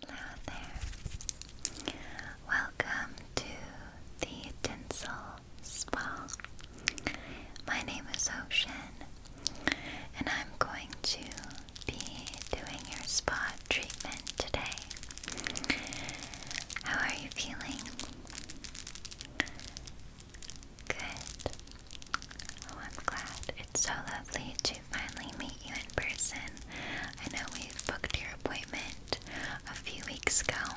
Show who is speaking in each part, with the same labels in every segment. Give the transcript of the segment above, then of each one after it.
Speaker 1: Hello there. Welcome to the Tinsel Spa. My name is Ocean, and I'm going to be doing your spa treatment today. How are you feeling? Good. Oh, I'm glad. It's so lovely to finally meet you in person. I know we booked your appointment a few weeks ago.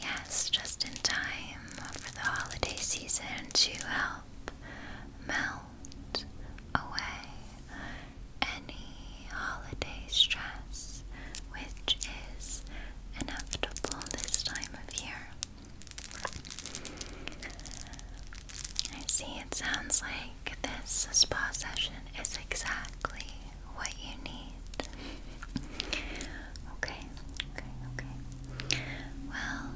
Speaker 1: Yes, just in time for the holiday season to help melt away any holiday stress, which is inevitable this time of year. I see it sounds like this spa session is exactly what you need. okay, okay, okay. Well,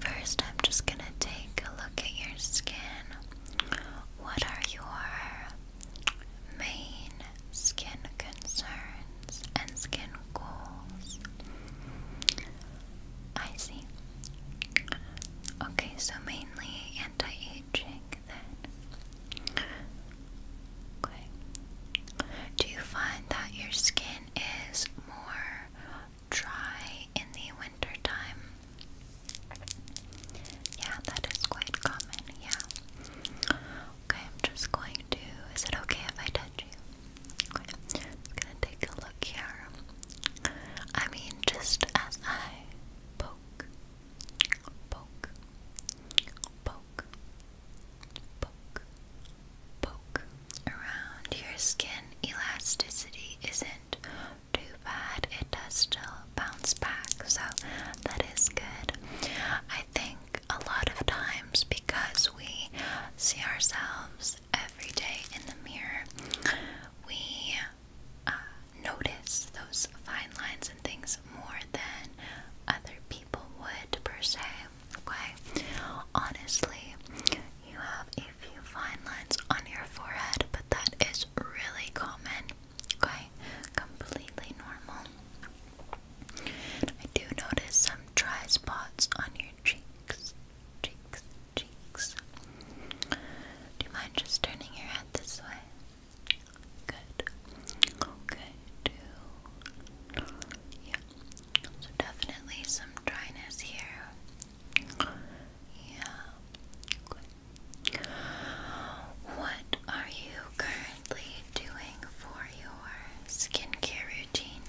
Speaker 1: first I'm just gonna take a look at your skin. What are your main skin concerns and skin goals? I see. Okay, so mainly anti-aging then. Okay. Do you find that your skin is more dry in the winter time? Yeah, that is quite common, yeah. Okay, I'm just going to is it okay if I touch you? Okay. I'm gonna take a look here. I mean, just as I poke, poke, poke, poke, poke around, your skin elasticity isn't too bad. It does still bounce back, so that is good. I think a lot of times because we see ourselves every day in the mirror, we uh, notice those fine lines and things more than other people would, per se. Okay? Honestly, you have a few fine lines on your forehead, but that is really common. Okay? Completely normal. I do notice some dry spots on your cheeks, cheeks, cheeks. Do you mind just turning your head this way? Good. Okay, two. Yeah. So definitely some dryness here. Yeah. What are you currently doing for your skincare routine?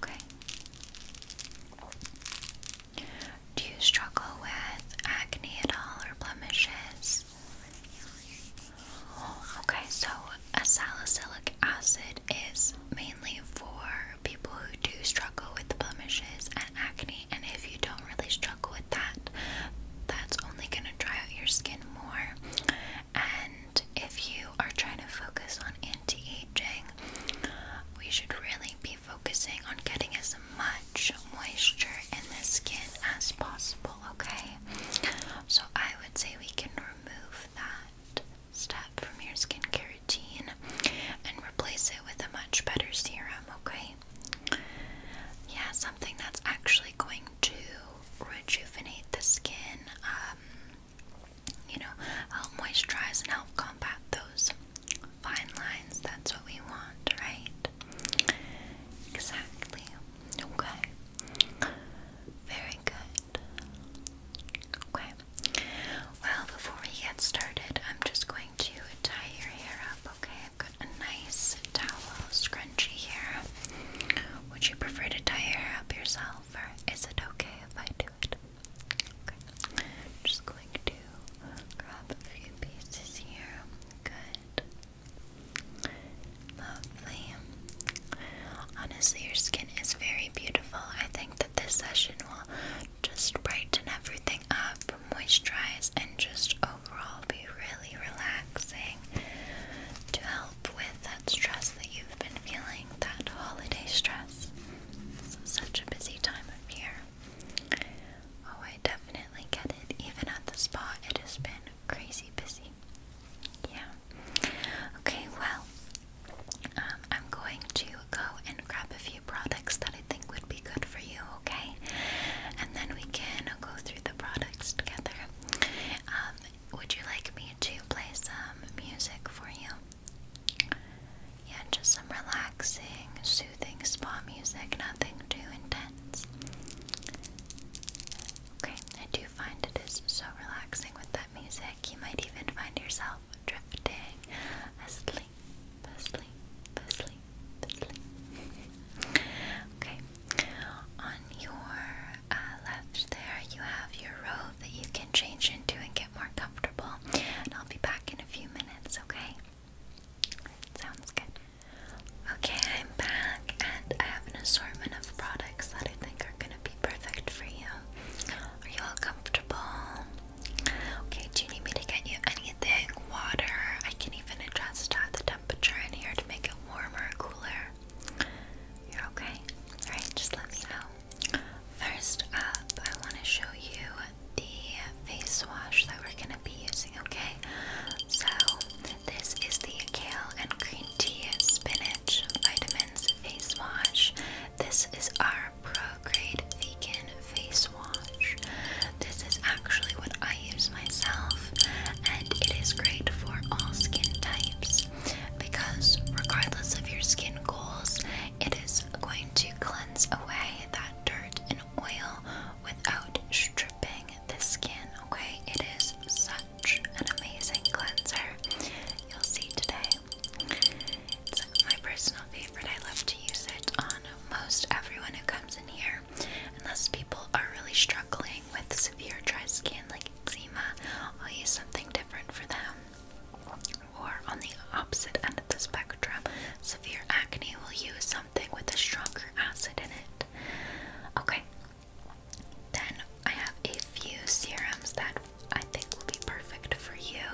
Speaker 1: Okay. Do you struggle with acne at all or blemishes? Okay, so a salicylic acid is mainly for people who do struggle with blemishes and acne, and if you don't really struggle with that, that's only going to dry out your skin more. And if you are trying to focus on anti-aging, we should really be focusing on getting as much moisture in the skin as possible, okay? So I would say we can remove that step from your skincare routine and replace it with a much better serum, okay? Yeah, something that's actually going to rejuvenate the skin, um, you know, help moisturize and help combat those fine lines. That's what we want, right? Exactly. Okay. Very good. Okay. Well, before we get started, I'm just going to tie your hair up, okay? I've got a nice towel scrunchie here. Would you prefer to tie your hair up yourself, or is it okay if I do it? just going to grab a few pieces here. Good. Lovely. Honestly, your skin is very beautiful. I think that this session will just brighten everything up, moisturize, and just overall be really relaxing to help with that stress that you've been feeling, that holiday stress. It's such a busy time of year. Oh, I definitely get it. Even at the spa, it has been crazy busy. Yeah. Okay, well, um, I'm going to go and grab a few products that I think would be good for you, okay? And then we can go through the products together. Um, would you like me to play some music for you? Yeah, just some relaxing, soothing spa music, nothing too intense. Okay, I do find it is so relaxing with that music. You might even find yourself drifting asleep, asleep, asleep, asleep. okay, on your uh, left there, you have your that you can change into and get more comfortable. And I'll be back in a few minutes, okay? Sounds good. Okay, I'm back and I have an assortment of products that I think are gonna be perfect for you. Are you all comfortable? Okay, do you need me to get you anything? Water? I can even adjust the temperature in here to make it warmer or cooler. You're okay? Alright, just let me know. First up, I want to show you the face wash that we're going to be using, okay? So, this is the kale and green tea spinach vitamins face wash. This is our pro-grade vegan face wash. This is actually what I use myself, and it is great for all skin types because regardless of your skin goals, it is going to cleanse away that dirt and oil without stripping the skin, okay? It is such an amazing cleanser. You'll see today. It's my personal favorite. I love to use it on most everyone who comes in here. Unless people are really struggling with severe dry skin like eczema, I'll use something different for them or on the opposite end of the spectrum, severe acne will use something with a stronger acid in it. Okay, then I have a few serums that I think will be perfect for you,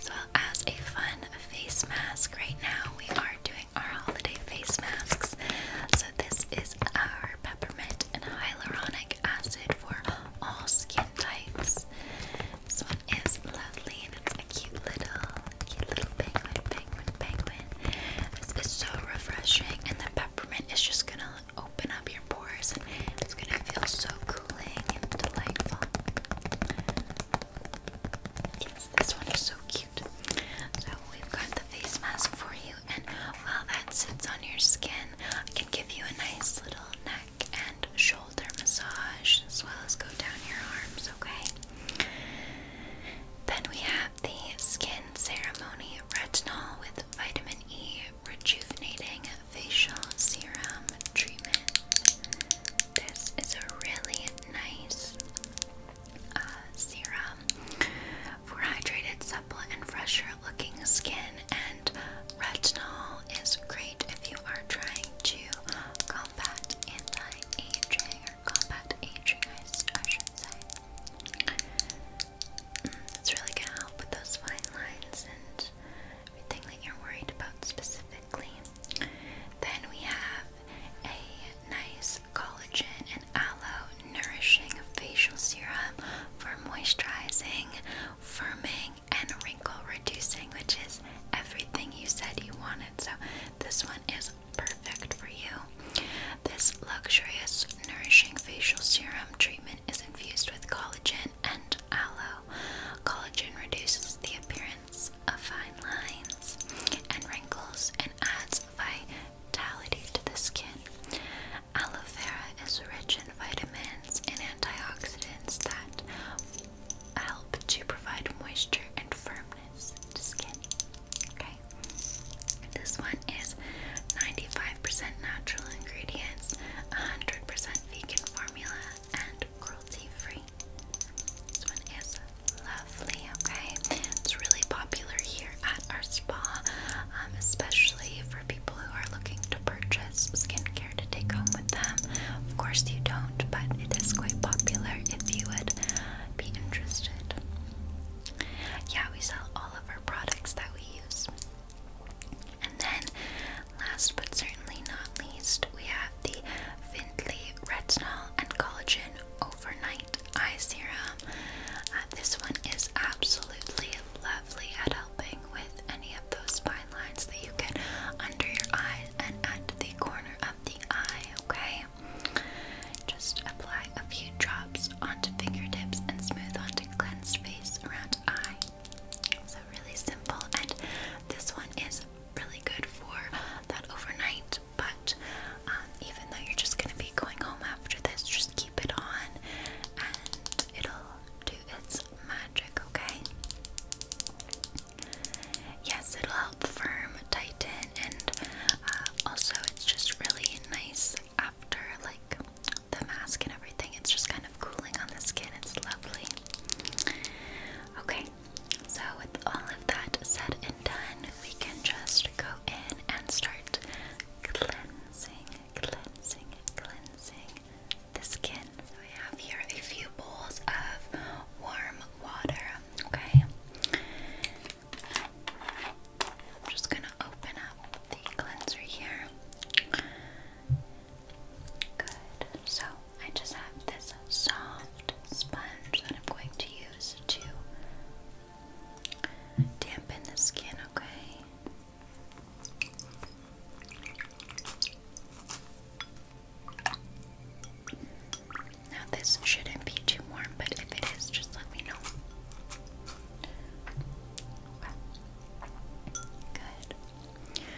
Speaker 1: as well as a fun face mask. Right now, we are doing our holiday face masks. So, this is our peppermint and hyaluronic Hyaluronic acid for all skin types. This one is lovely and it's a cute little, cute little penguin, penguin, penguin. This is so refreshing and the peppermint is just gonna open up your pores and it's gonna feel so cooling and delightful. Yes, this one is so cute. So we've got the face mask for you and while that sits on your skin, I can give you a nice little neck and shoulder massage, as well as go down your arms, okay? Then we have the Skin Ceremony Retinol with Vitamin E Rejuvenating Facial Serum Treatment. This is a really nice uh, serum for hydrated, supple, and fresh looking skin and retinol is great if you are trying to combat anti-aging or combat aging I should say. Mm, it's really gonna help with those fine lines and everything that you're worried about specifically. Then we have a nice collagen and aloe nourishing facial serum for moisturizing firming and wrinkle reducing, which is everything you said you wanted. So, this one is perfect for you. This luxurious, nourishing facial serum treatment is infused with collagen and aloe. Collagen reduces the appearance of fine lines and wrinkles and adds vitality to the skin. Aloe vera is rich in vitamins and antioxidants that help to provide moisture and firmness to skin. Okay? This one is 95% natural ingredients, 100% vegan formula, and cruelty free. This one is lovely, okay? It's really popular here at our spa, um, especially for people who are looking to purchase skincare to take home with them. Of course, you don't, but it is quite popular if you would be interested. Yeah, we sell all of our products that we use. And then, last but certainly not least, we have the Findlay Retinol and Collagen Overnight Eye Serum. Uh, this one is absolutely helping with any of those fine lines that you get under your eyes and at the corner of the eye, okay? Just apply a few drops onto fingertips and smooth onto cleansed face around eye. So really simple and this one is really good for that overnight but um, even though you're just going to be going home after this, just keep it on it'll do its magic, okay? Yes, it'll help firm, tighten, and uh, also it's just really nice after like the mask and everything. It's just kind of cooling on the skin. It's lovely. Okay, so with all of that said and done, we can just go in and start cleansing, cleansing, cleansing the skin. I have here a few bowls of warm water, okay? I'm just gonna open up the cleanser here. Good. So I just have this soft sponge that I'm going to use to dampen the skin, okay? Now, this shouldn't be too warm, but if it is, just let me know. Good.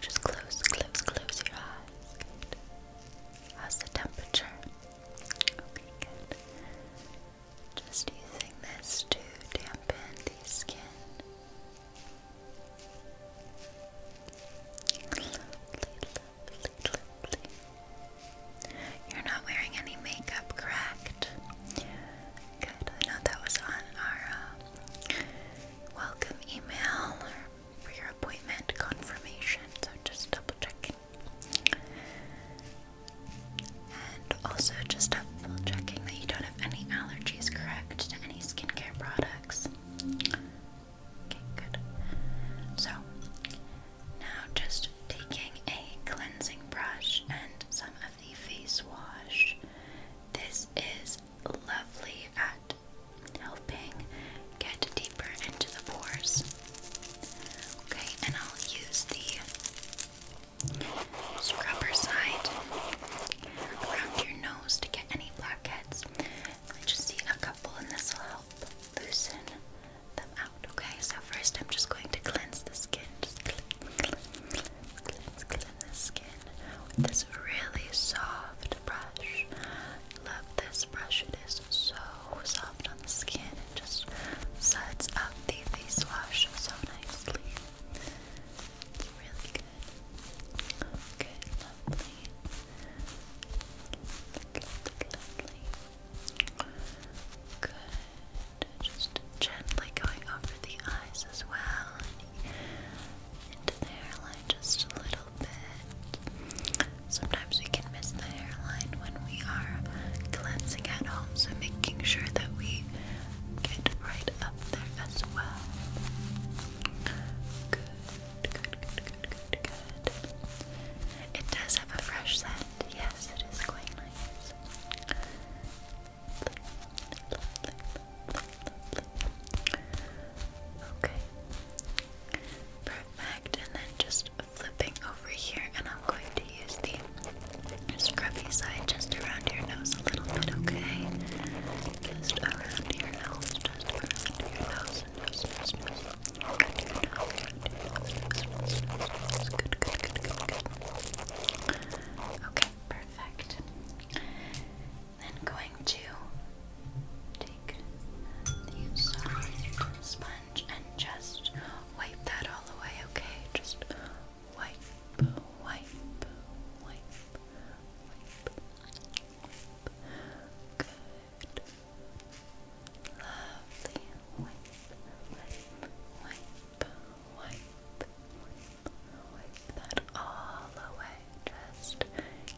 Speaker 1: Just close, close, close your eyes. How's the temperature? Just using this to dampen the skin. You're not wearing any makeup, correct? Good. I know that was on our uh, welcome email for your appointment confirmation, so just double checking. And also just double checking that you don't have any allergies, correct, to any skincare products. Okay, good. So, now just taking a cleansing brush and some of the face wash. This is lovely at helping get deeper into the pores. Okay, and I'll use the scrubber side around your nose to get any blackheads. I just see a couple, and this will help loosen them out. Okay, so first I'm just going to cleanse the skin. Just cleanse, cleanse, cleanse, the skin with this really soft brush. Love this brush, it is so soft on the skin. and just sets up the face wash so nicely really good. Okay, lovely. Lovely, lovely. Good. Just gently going over the eyes as well. Into the hairline just a little bit. Sometimes we can miss the hairline when we are cleansing at home, so making sure that we get right up there as well. Good, good, good, good, good, good. It does have a fresh scent. Yes, it is quite nice. Okay. Perfect. And then just flipping over here, and I'm going to use the scruffy side just around your nose a little bit, okay? Just around your nose, just around your nose, nose, nose, nose. Around your nose, around your nose, nose, nose, nose. Good, good, good, good, good. Okay, perfect. Then going to take the soft sponge and just wipe that all away, okay? Just wipe, wipe, wipe, wipe, Good. Lovely. Wipe, wipe, wipe, wipe, wipe that all away. Just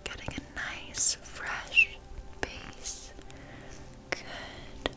Speaker 1: getting a nice fresh base. Good.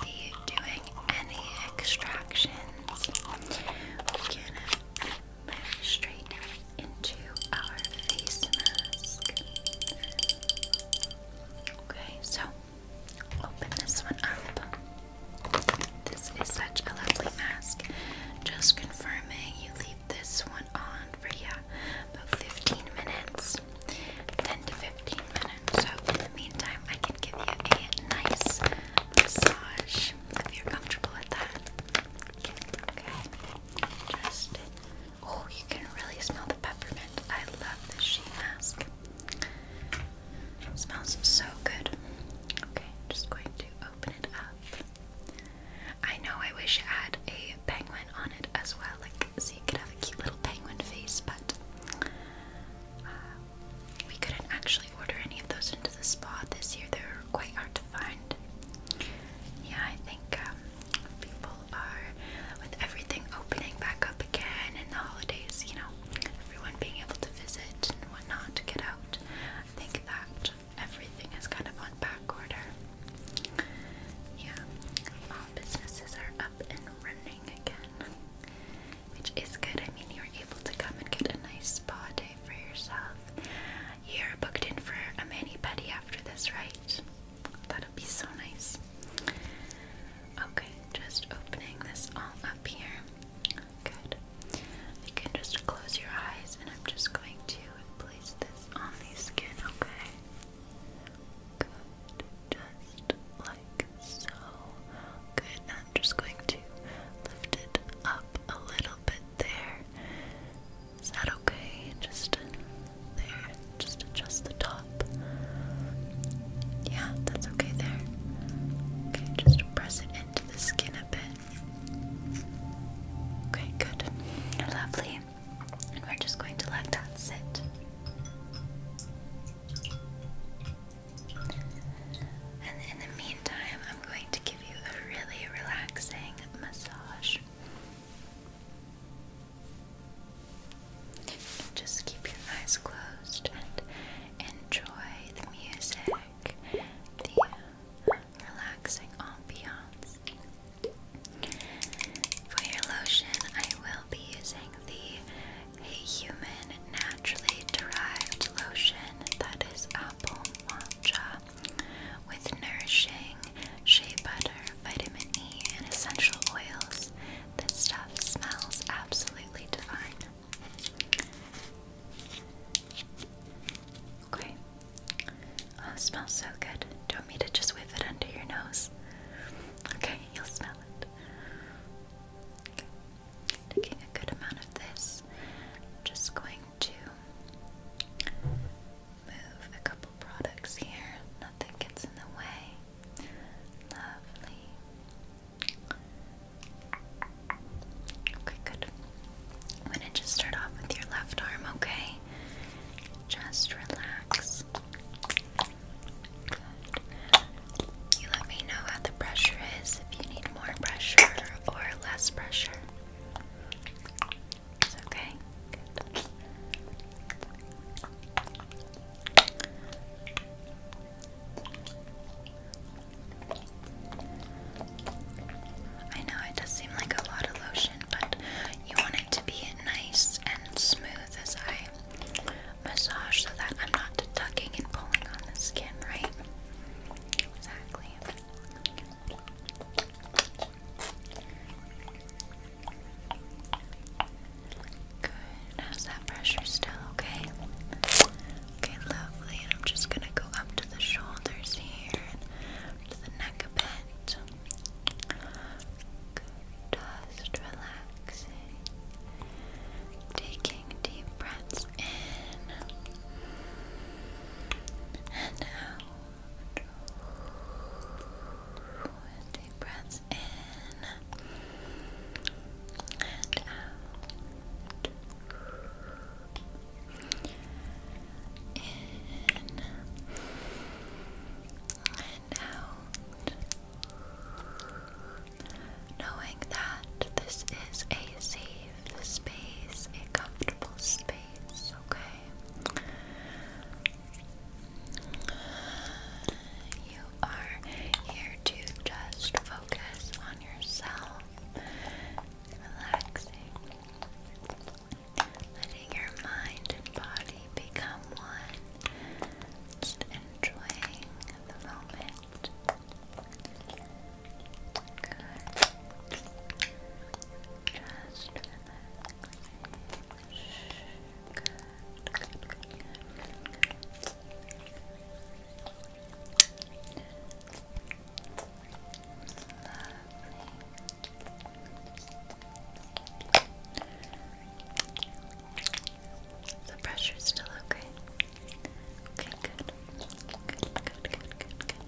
Speaker 1: be doing any extractions. We can move straight into our face mask. Okay, so open this one up. This is such a lovely mask. Just confirming you leave this one on for yeah, about 15 minutes. 10 to 15 so in the meantime, I can give you a nice massage if you're comfortable with that. Okay. Just oh, you can really smell the peppermint. I love this sheet mask. smells so good. Okay, just going to open it up. I know I wish had a penguin on it as well, like so could have a cute little penguin face, but uh, we couldn't actually order any of those into the spa this year. They are quite hard to find. Yeah, I think um, people are, with everything opening back up again and the holidays, you know, everyone being able to visit and whatnot to get out, I think that everything is kind of on back order. Yeah, all businesses are up and running again which is good. I mean, you're able to come and get a nice spa day for yourself. You're booked in for a mini pedi after this, right? That'll be so nice. Okay, just opening this all up here. Good. You can just close your eyes, and I'm just going to place this on the skin, okay? Good just like so. Good, I'm just going to lift it up a little bit there. Is that okay? Just there, just adjust the top. Yeah, that's okay there. Okay, just press it into the skin a bit. Okay, good. Lovely. And we're just going to let that sit. And in the meantime, I'm going to give you a really relaxing massage. Just keep your eyes closed and enjoy the music, the uh, relaxing ambiance. For your lotion, I will be using the a human naturally derived lotion that is apple matcha with nourishing shea butter, vitamin E, and essential oils. This stuff smells absolutely divine. Okay. Oh, smells so good. Do you want to just whiff it under your nose? Okay, you'll smell it. Taking a good amount of this, just going to move a couple products here. Nothing gets in the way. Lovely. Okay, good. I'm gonna just start off with your left arm, okay? Just relax. You let me know how the pressure is, if you need more pressure or less pressure. It's okay. I know it does seem like a lot of lotion, but you want it to be nice and smooth as I massage so that I'm not tucking and pulling on the skin, right? Exactly. Good. How's that pressure still? Okay. Okay, lovely. And I'm just gonna go up to the shoulders here, to the neck a bit. Good just relaxing, taking deep breaths in and out. Deep breaths in and out. In and out. Knowing that this is a safe space, a comfortable space, okay? You are here to just focus on yourself, relaxing, letting your mind and body become one, just enjoying of the moment. Good. Just Good. Good. The pressure is still okay. Okay, good. Good, good, good, good, good.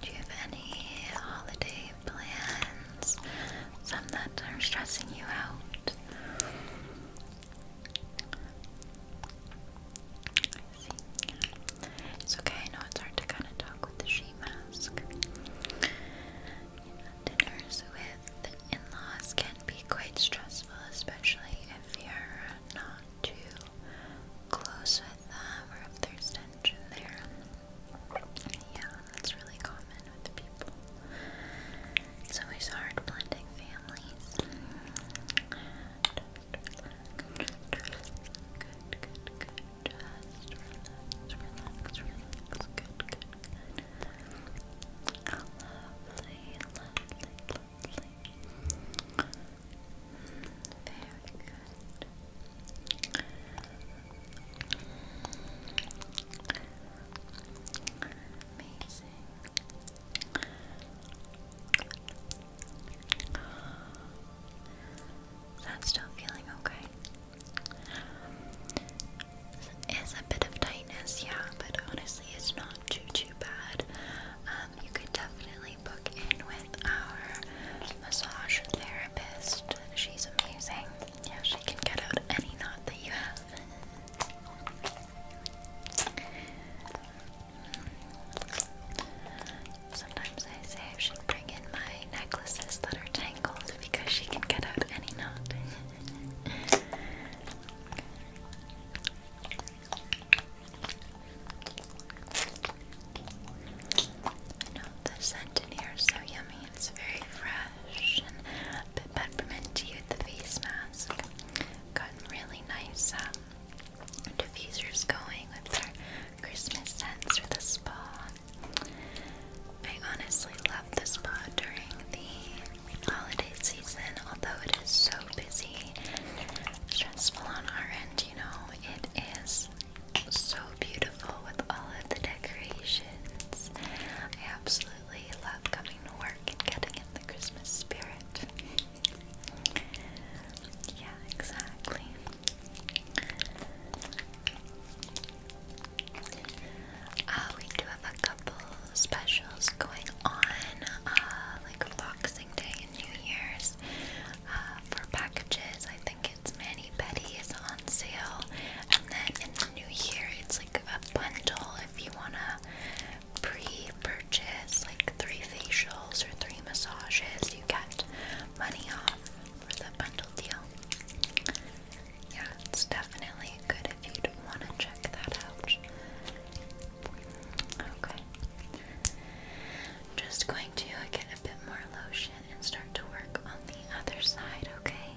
Speaker 1: Do you have any holiday plans? Some that are stressing you out? It's okay, I know it's hard to kind of talk with the she mask. Dinners with in laws can be quite stressful, especially if you're not too close with them or if there's tension there. Yeah, that's really common with people. It's always hard blending families. Good, good, good. Just relax, relax, relax. Good, good, good. Lovely, lovely, lovely. Very good. Amazing. That's still feeling okay. It's a bit of tightness, yeah, but honestly, it's not too too bad. Um, you could definitely book in with our massage therapist. She's amazing. Yeah, she can get out any knot that you have. Sometimes I say I should bring in my necklaces that are tangled because she can get out any knot. I know the scent in here is so yummy, it's very fresh and a bit face mask. Got really nice um, diffusers going with our Christmas scents for the spa. I honestly love the spa during the holiday season, although it is so busy, stressful on our end, you know. It is so beautiful with all of the decorations. I absolutely love coming to work and getting in the Christmas spirit. Yeah, exactly. Uh, we do have a couple specials going on, uh, like Boxing Day and New Year's. Uh, for packages, I think it's Manny Betty is on sale, and then in the new year, it's like a bundle if you wanna pre-purchase like three facials or three massages, you get money off for the bundle deal. Yeah, it's definitely good if you want to check that out. Okay. Just going to get a bit more lotion and start to work on the other side, okay?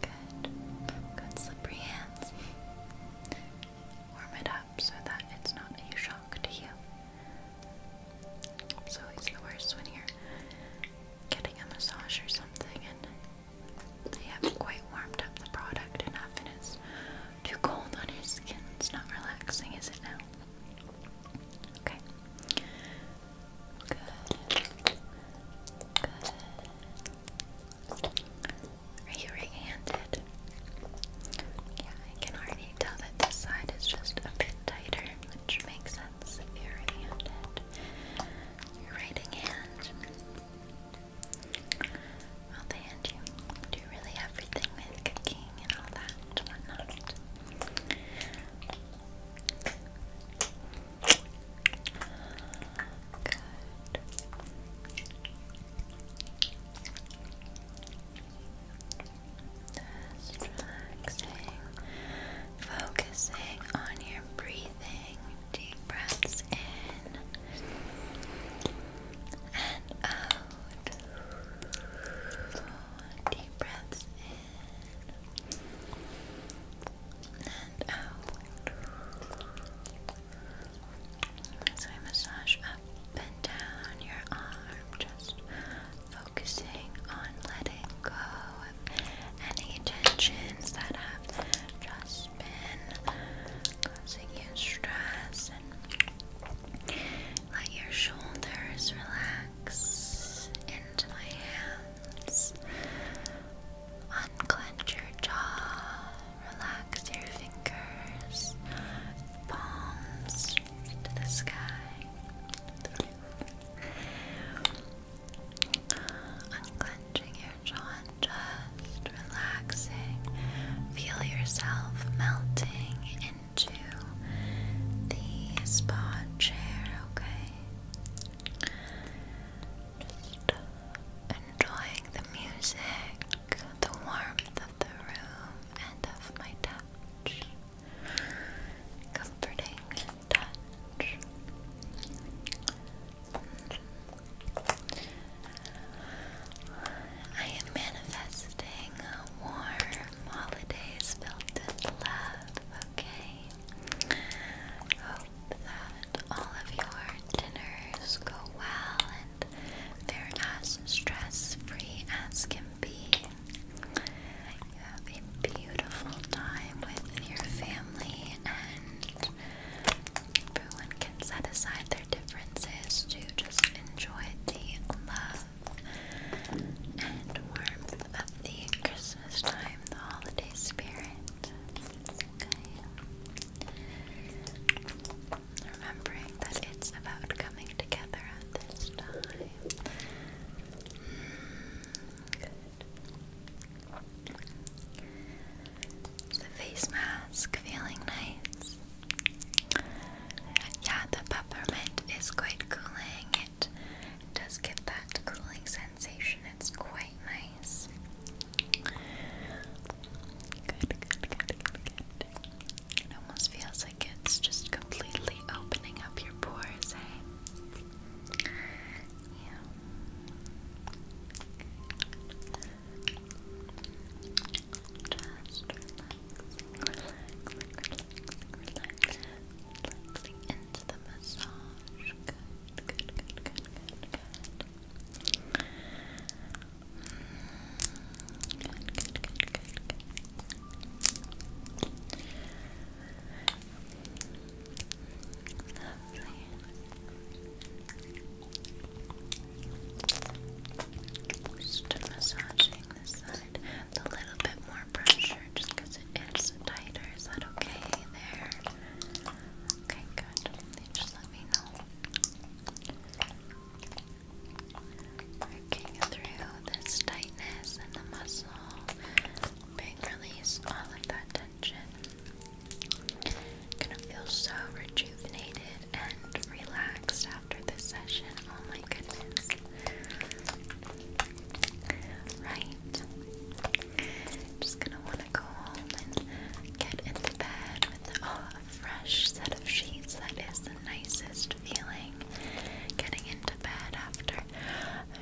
Speaker 1: Good. Good slippery hands. Warm it up so that it's not a shock to you. It's always the worst when you getting a massage or something and they haven't quite warmed up the product enough and it's too cold on your skin. It's not relaxing, is it now? Okay. Good. Good. Are you right handed? Yeah, I can already tell that this side is just a bit tighter, which makes sense if you're right handed. Your writing hand. Well, they hand you do really everything with cooking and all that Good relaxing, focusing on your breathing. Deep breaths in and out. Deep breaths in and out. So I massage up and down your arm, just focusing on letting go of any tensions that have just been causing you stress and let your shoulders relax into my hands. Unclench your jaw Relax your fingers, palms to the sky, to the Unclenching your jaw just relaxing. Feel yourself melting into the spa chair, okay? Just enjoying the music the warmth of the room and of my touch. Comforting touch. I am manifesting warm holidays filled with love, okay? that all of your dinners go well and they're as stress free as can be. You have a beautiful time with your family, and everyone can set aside their differences to just enjoy the love and warmth of the Christmas time, the holiday spirit. Remembering that it's about coming together at this time. The face mask feeling nice. Yeah, the peppermint is quite cooling. It does give that cooling sensation. It's quite nice. It almost feels like it's just completely opening up your pores, Yeah. Just relax, relax, relaxing into the massage. Good, good, good, good, good, good. Good, good, Just massaging this side a little bit more pressure just it's tighter. Is that okay there? Okay, good me know. through this tightness in the muscle, bring release all of that tension. Gonna feel so rejuvenated and relaxed after this session. Oh my goodness. Right. Just gonna wanna go home and get into bed with a fresh set of sheets. That is the nicest feeling. Getting into bed after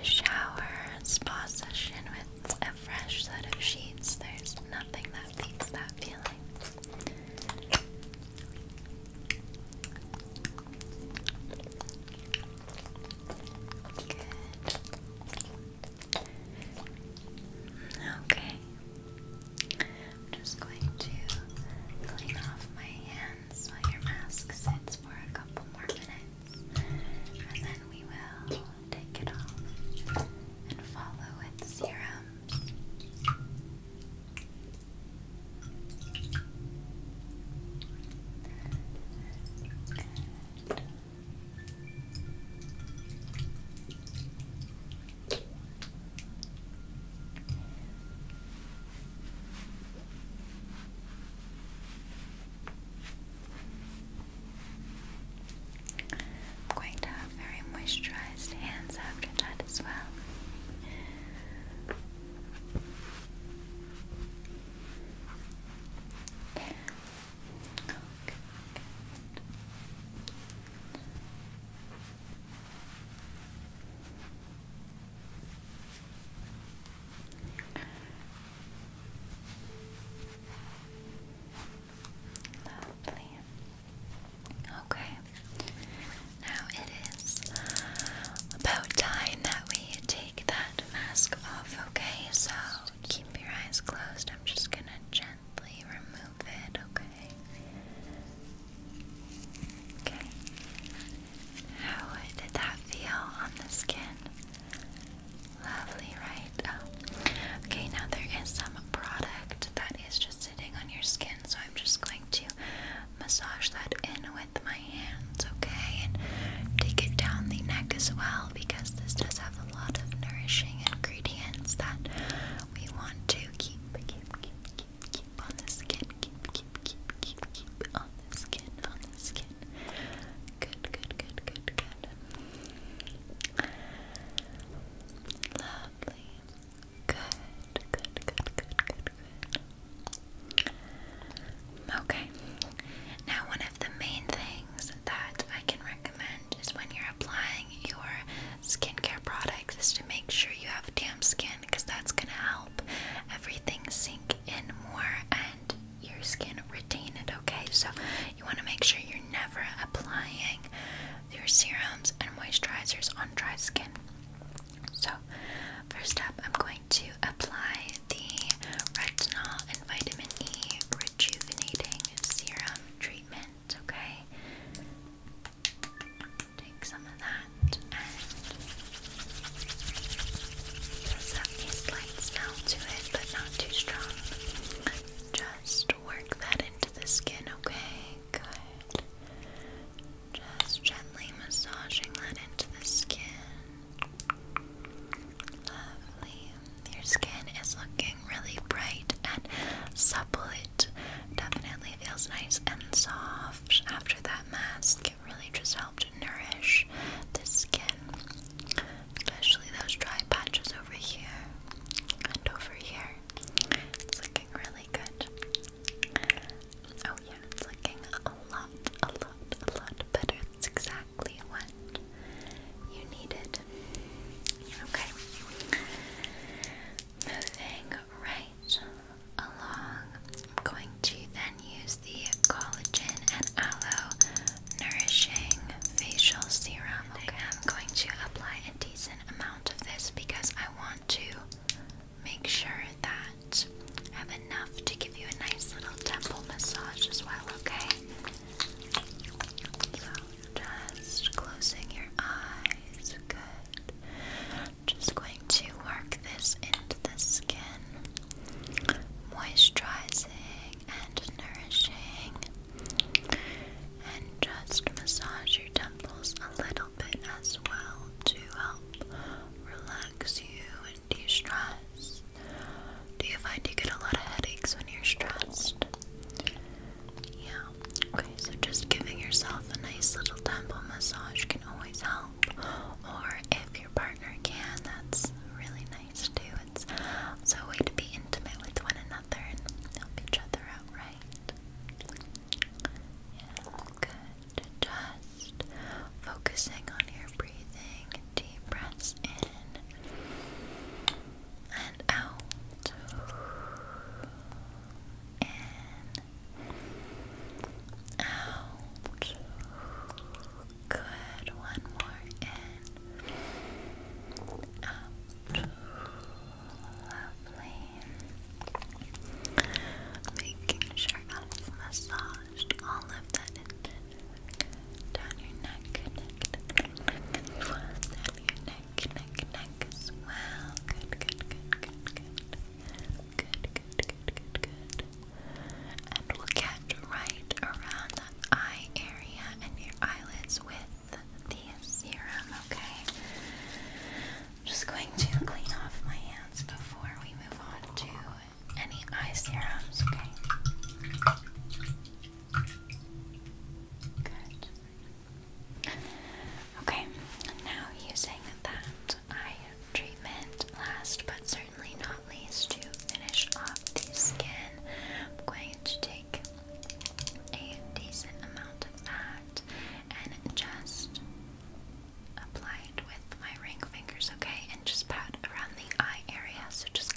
Speaker 1: a shower, a spa session with a fresh set of sheets. There's nothing that beats that feeling. Good. Okay. I'm just going to clean off my hands while your mask sits for a couple more minutes, and then we will take it off and follow with serums. I'm going to have very moisturized hands after that as well. Okay, good. Lovely. Okay. Now it is about time that we take that mask off, okay? So keep your eyes closed. I'm just gonna gently remove it, okay? Okay. How did that feel on the skin? Lovely, right? Oh. Okay, now there is some product that is just sitting on your skin, so I'm just going to massage that in with my hands, okay? And take it down the neck as well because this does have a a lot of nourishing ingredients that we want to keep, keep, keep, keep, on the skin, keep, keep, keep, keep, on the skin, on the skin. Good, good, good, good, good. Lovely. good, good, good, good, good. Okay. Now, one of the main things that I can recommend is when you're applying your skincare products is to make sure you have damp skin because that's going to help everything sink in more and your skin retain it, okay? So you want to make sure you're never applying your serums and moisturizers on dry skin. So, first up, I'm going to apply the retinol and vitamin E rejuvenating serum treatment, okay? Take some of that and just have a slight smell to it, but not too strong. Just work that into the skin, okay? Just gently massaging that into the skin. Lovely. Your skin is looking really bright and supple. It definitely feels nice and soft after that mask. It really just helped nourish the skin, especially those dry patches over here and over here. It's looking really good. Oh yeah, it's looking a lot, a lot, a lot better. That's exactly exactly what you needed. Okay. Moving right along, I'm going to then use the collagen and aloe nourishing facial serum. I'm going to apply a decent amount of this because I want to make sure that I have enough to give you a nice little temple massage as well, okay? So just closing your eyes. Good. Just going to work this into the skin, moisturizing and nourishing. And just massage your temples a little bit as well to help relax you and de stress. Do you find you get a lot of headaches when you're stressed? Yeah. Okay, so just giving yourself a nice little temple massage can always help. Or if your partner can, that's really nice too. It's a way to be intimate with one another and help each other out, right? Yeah, good. Just focusing on your breathing. Deep breaths in and out in out good one more in out lovely making sure I've all of that intended down your neck, neck, neck, down your neck, neck, neck as well. Good, good, good, good, good. Good, good, good, good, good. And we'll catch right around that eye area and your eyelids with the serum, okay? I'm just going to clean off my hands before we move on to any eye serums, okay? Okay, now using that eye treatment, last but certainly not least, to finish off the skin, I'm going to take a decent amount of that and just apply it with my ring fingers, okay? And just pat around the eye area, so just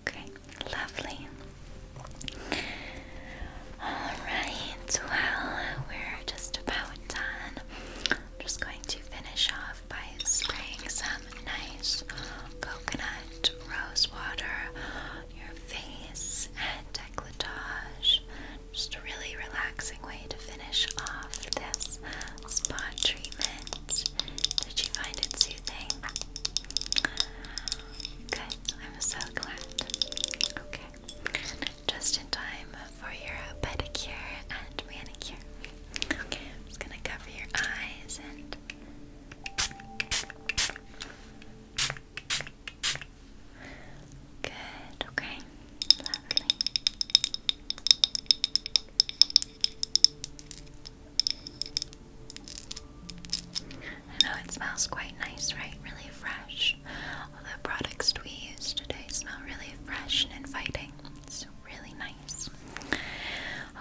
Speaker 1: Okay, lovely. Alright, well, we're just about done. just going to finish off by spraying some nice coconut rose water on your face and decolletage. Just a really relaxing way to finish off this spot treatment. Did you find it soothing? Good, I'm so glad. Okay, just in time for your pedicure and manicure. Okay, just gonna cover your eyes Good, okay. I know it smells quite nice, right? Really fresh. All the products we use today smell really fresh and inviting. It's really nice.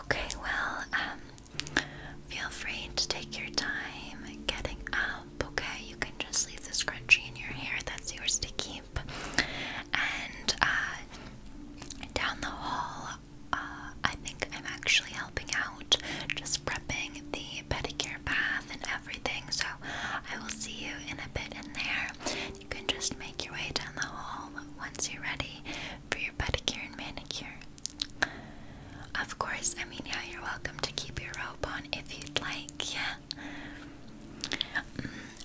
Speaker 1: Okay, well, um, feel free to take your time getting up, okay? You can just leave the scrunchie in your hair that's yours to keep. And uh, down the hall, uh, I think I'm actually helping out, just prepping the pedicure bath and everything. So I will see you in a bit in there. You can just make your way down the hall once you're ready for your pedicure and manicure. Of course, I mean, yeah, you're welcome to keep your robe on if you'd like, yeah.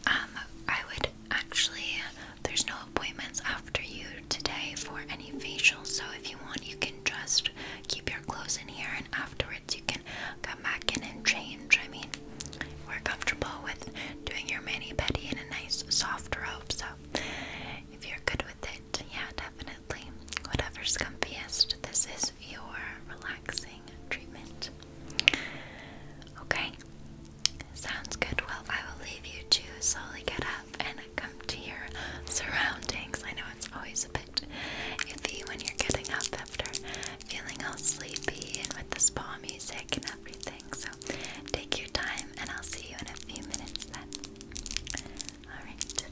Speaker 1: Um, I would actually, there's no appointments after you today for any facial, so if you want, you can just keep your clothes in here and afterwards you can come back in and change. I mean, we're comfortable with doing your mani pedi in a nice soft robe, so if you're good with it, yeah, definitely. Whatever's comfiest, this is your relaxing treatment. Okay, sounds good. Well, I will leave you to slowly get up and come to your surroundings. I know it's always a bit iffy when you're getting up after feeling all sleepy and with the spa music and everything. So take your time, and I'll see you in a few minutes then. Alright.